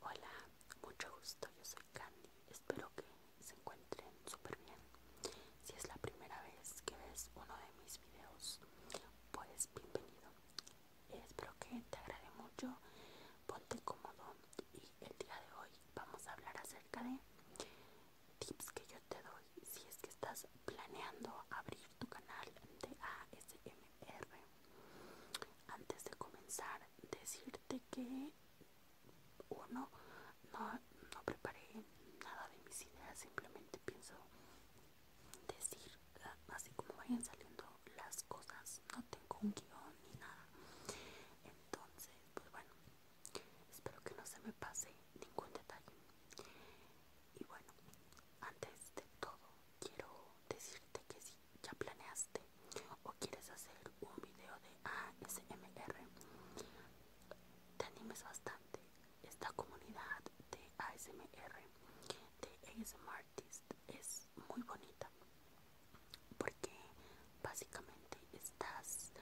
Hola, mucho gusto, yo soy Candy, espero que se encuentren súper bien. Si es la primera vez que ves uno de mis videos, pues bienvenido. Espero que te agrade mucho, ponte cómodo y el día de hoy vamos a hablar acerca de tips que yo te doy si es que estás planeando abrir tu canal de ASMR. Antes de comenzar, decirte que uno no, no preparé nada de mis ideas, simplemente pienso decir ah, así como vayan saliendo las cosas, no tengo un guión ni nada. Entonces, pues bueno, espero que no se me pase ningún detalle. Y bueno, antes de todo quiero decirte que si ya planeaste o quieres hacer un video de ASMR, te animes bastante. Esta comunidad de ASMR, de ASM es muy bonita porque básicamente estás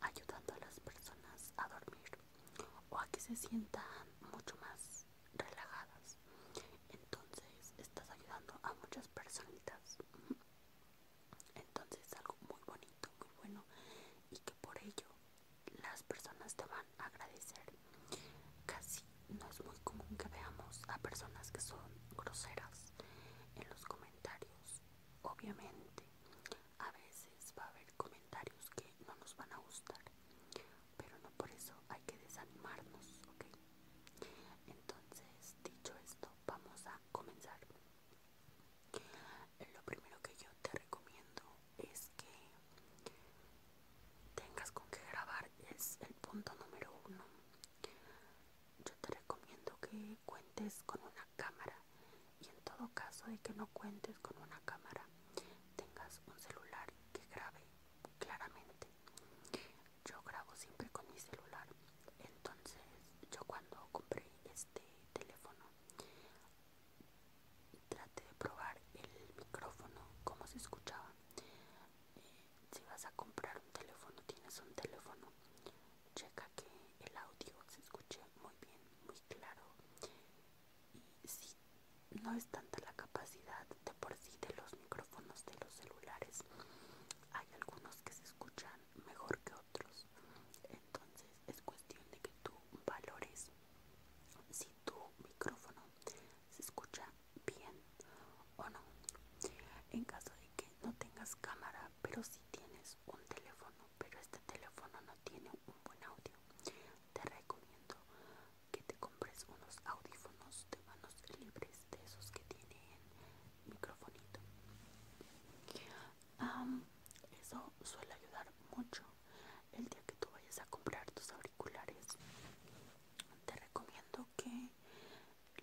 ayudando a las personas a dormir o a que se sientan mucho más relajadas. Entonces estás ayudando a muchas personitas. Entonces es algo muy bonito, muy bueno y que por ello las personas te van a agradecer. Casi no es muy común que veamos a personas que son groseras en los comentarios. Obviamente a veces va a haber comentarios que no nos van a gustar, pero no por eso hay que desanimarnos, ¿ok? Entonces, dicho esto, vamos a comenzar. Lo primero que yo te recomiendo es que tengas con qué grabar, es el punto número uno. Yo te recomiendo que cuentes con una cámara y en todo caso de que no cuentes con una cámara, tengas un celular que grabe claramente. Yo grabo siempre con mi celular, entonces yo cuando compré este teléfono traté de probar el micrófono, cómo se escuchaba. Eh, si vas a comprar un teléfono, tienes un teléfono, checa que el audio se escuche muy bien, muy claro. Y si no es tanta la capacidad de por sí de los micrófonos de los celulares, hay algunos que se escuchan mejor que otros. Entonces es cuestión de que tú valores si tu micrófono se escucha bien o no. En caso de que no tengas cámara, pero si tienes un teléfono, pero este teléfono no tiene un buen audio, te recomiendo que te compres unos audífonos de manos libres de esos que tienen microfonito. eso suele ayudar mucho. El día que tú vayas a comprar tus auriculares, te recomiendo que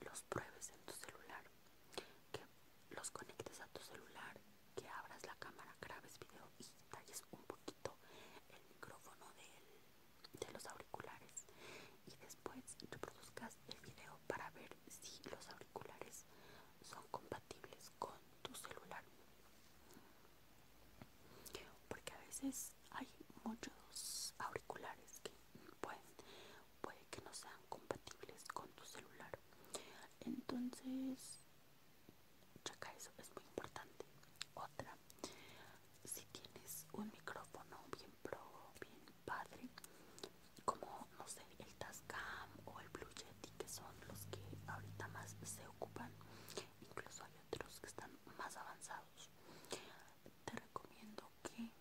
los pruebes en tu celular, que los conectes a tu celular que abras la cámara, grabes video y talles un poquito el micrófono de los auriculares y después reproduzcas el video para ver si los auriculares son compatibles con tu celular porque a veces hay muchos auriculares que pueden puede que no sean compatibles con tu celular entonces checa eso es muy importante otra si tienes un micrófono bien pro bien padre como no sé el Tascam o el Blue Yeti que son los que ahorita más se ocupan incluso hay otros que están más avanzados te recomiendo que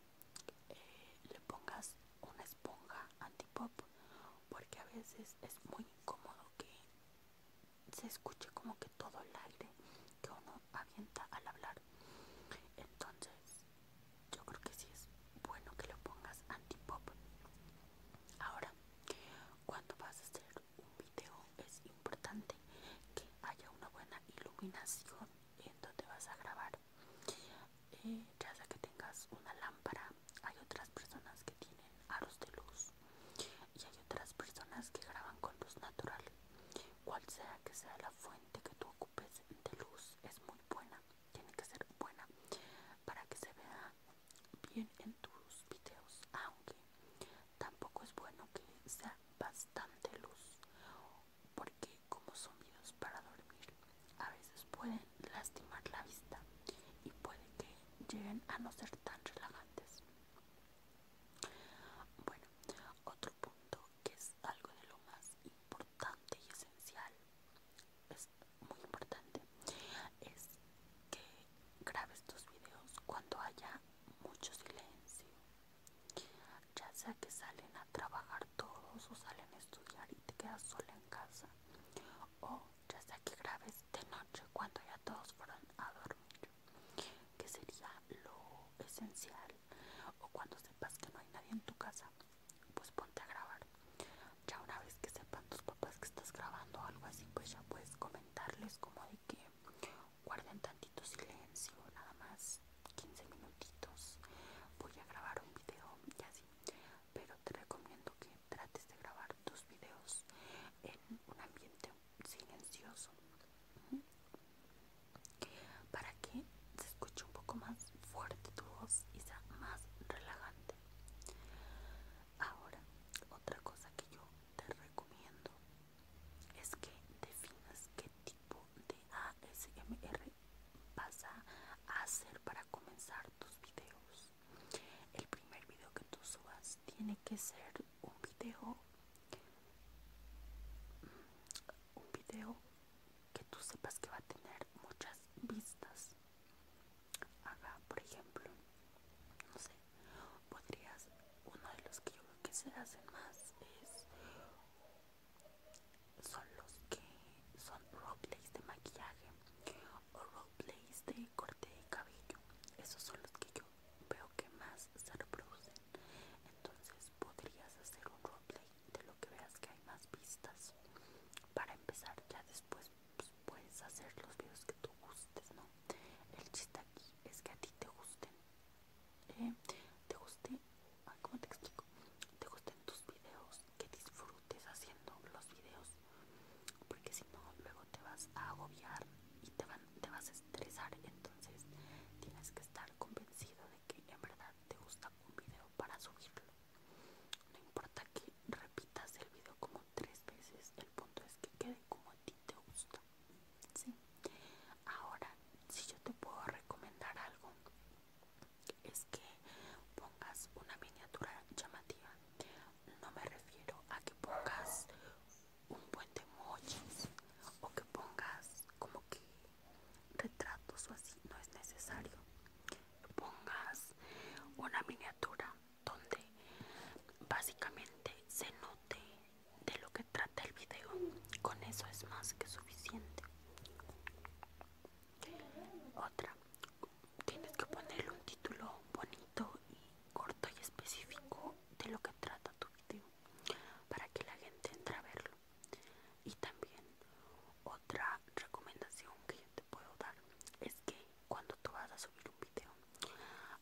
le pongas una esponja antipop porque a veces es muy incómodo que se escuche como que todo el aire que uno avienta al hablar entonces yo creo que sí es bueno que lo pongas antipop ahora cuando vas a hacer un video es importante que haya una buena iluminación en donde vas a grabar eh, ya sea que tengas una lámpara hay otras personas que tienen aros de luz y hay otras personas que graban con luz natural cual sea que sea la fuente que tú ocupes de luz es muy buena tiene que ser buena para que se vea bien en tus videos aunque tampoco es bueno que sea bastante luz porque como sonidos para dormir a veces pueden lastimar la vista y puede que lleguen a no ser tan relajantes. Bueno, otro punto que es algo de lo más importante y esencial, es muy importante, es que grabes tus videos cuando haya mucho silencio ya sea que salen a trabajar todos o salen a estudiar y te quedas sola en casa o ya sea que grabes de noche cuando ya todos fueron a dormir que sería lo esencial o cuando sepas que no hay nadie en tu casa pues ponte a grabar ya una vez que sepan tus papás que estás grabando o algo así pues ya puedes comentarles como de que guarden tantito silencio nada más 15 minutitos voy a grabar un video y así pero te recomiendo que trates de grabar tus videos en un ambiente silencioso para que se escuche un poco más fuerte tu voz y sea más relajante ahora otra cosa que yo te recomiendo es que definas qué tipo de ASMR vas a hacer para comenzar tus videos. El primer video que tú subas tiene que ser un video mm, un video que tú sepas que va a tener muchas vistas. Haga, por ejemplo, no sé, podrías uno de los que yo creo que se hacen más es son los que son roleplays de maquillaje o roleplays de corte de cabello. Esos son los que yo veo que más se reproducen. Entonces podrías hacer un roleplay de lo que veas que hay más vistas. Para empezar, ya después pues, puedes hacer los videos que tú gustes, ¿no? El chiste aquí es que a ti te gusten eh, te guste, te Te gusten tus videos, que disfrutes haciendo los videos, porque si no, luego te vas a agobiar y te, te vas a estresar. Entonces, tienes que estar convencido de que en verdad te gusta un video para subirlo. No importa que repitas el video como tres veces, el punto es que quede como a ti te gusta. Ahora, si yo te puedo recomendar algo, es que pongas una miniatura llamativa. No me refiero a que pongas un buen de o que pongas como que retratos o así, no es necesario. Pongas una miniatura donde básicamente se note de lo que trata el video. Con eso es más que suficiente. Otra, tienes que ponerle un título bonito y corto y específico de lo que trata tu video para que la gente entre a verlo. Y también otra recomendación que yo te puedo dar es que cuando tú vas a subir un video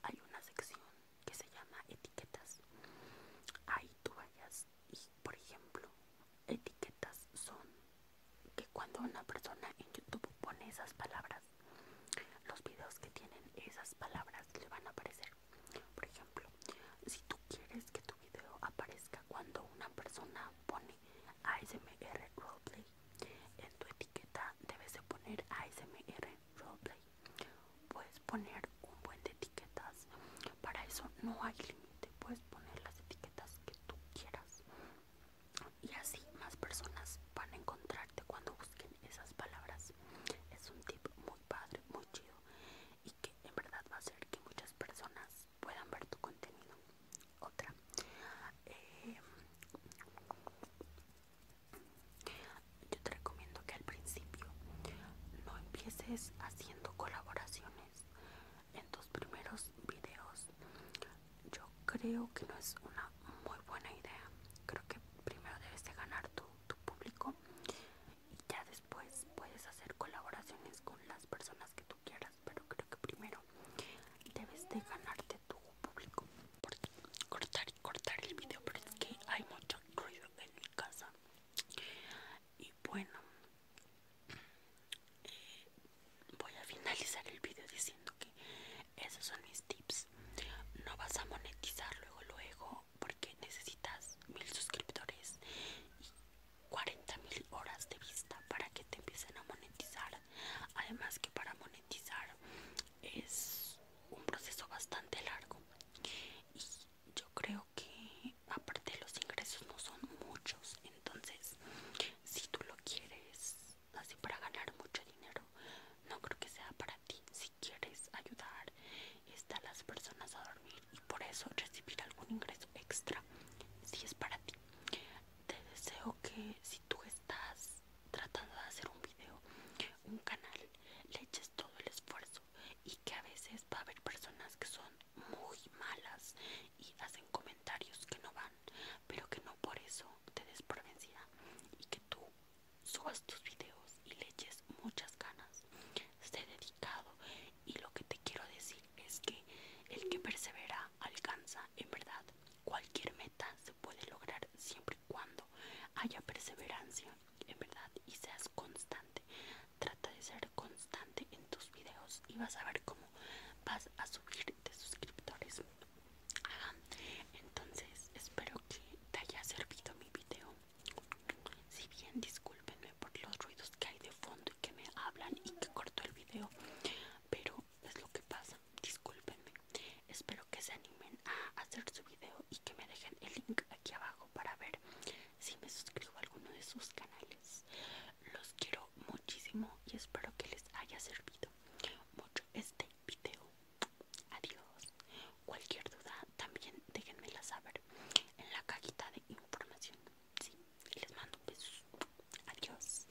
hay una sección que se llama etiquetas. Ahí tú vayas y, por ejemplo, etiquetas son que cuando una persona en YouTube pone esas palabras, los videos que tienen esas palabras le van a aparecer. Por ejemplo, si tú quieres que tu video aparezca cuando una persona pone ASMR Roleplay, en tu etiqueta debes de poner ASMR Roleplay. Puedes poner un buen de etiquetas. Para eso no hay límite. Puedes poner las etiquetas que tú quieras. Y así más personas van a encontrarte cuando busquen esas palabras. Es un tip muy padre, muy chido. Y que en verdad va a hacer que muchas personas puedan ver tu contenido. Otra. Eh, yo te recomiendo que al principio no empieces haciendo colaboraciones en tus primeros videos. Yo creo que no es una muy buena idea. Creo que primero debes de ganar tu, público y ya después puedes hacer colaboraciones con las personas que tú quieras. Pero creo que primero debes de ganarte público por cortar y cortar el video pero es que hay mucho ruido en mi casa y bueno eh, voy a finalizar el video diciendo que esos son mis tips no vas a monetizar luego luego porque necesitas mil suscriptores y 40 mil horas de vista para que te empiecen a monetizar además que para monetizar es un proceso bastante largo y yo creo que aparte los ingresos no son muchos entonces si tú lo quieres así para ganar mucho dinero no creo que sea para ti si quieres ayudar a las personas a dormir y por eso recibir algún ingreso extra si es para ti te deseo que si tú estás tratando de hacer un video, un canal, le eches todo el esfuerzo y que a veces va a haber personas que son muy malas y hacen comentarios que no van, pero que no por eso te des y que tú subas tus videos y le eches muchas ganas. Esté dedicado y lo que te quiero decir es que el que persevera alcanza en verdad cualquier meta puede lograr siempre y cuando haya perseverancia, en verdad, y seas constante. Trata de ser constante en tus videos y vas a ver cómo vas a subir de suscriptores. Entonces, espero que te haya servido mi video. Si bien, discúlpenme por los ruidos que hay de fondo y que me hablan y que corto el video, pero es lo que pasa, discúlpenme. Espero que se animen a hacer su video y que me dejen el link aquí abajo para ver si me suscribo a alguno de sus canales. Los quiero muchísimo y espero que les haya servido mucho este video. Adiós. Cualquier duda también déjenmela saber en la cajita de información. Sí, les mando un beso. Adiós.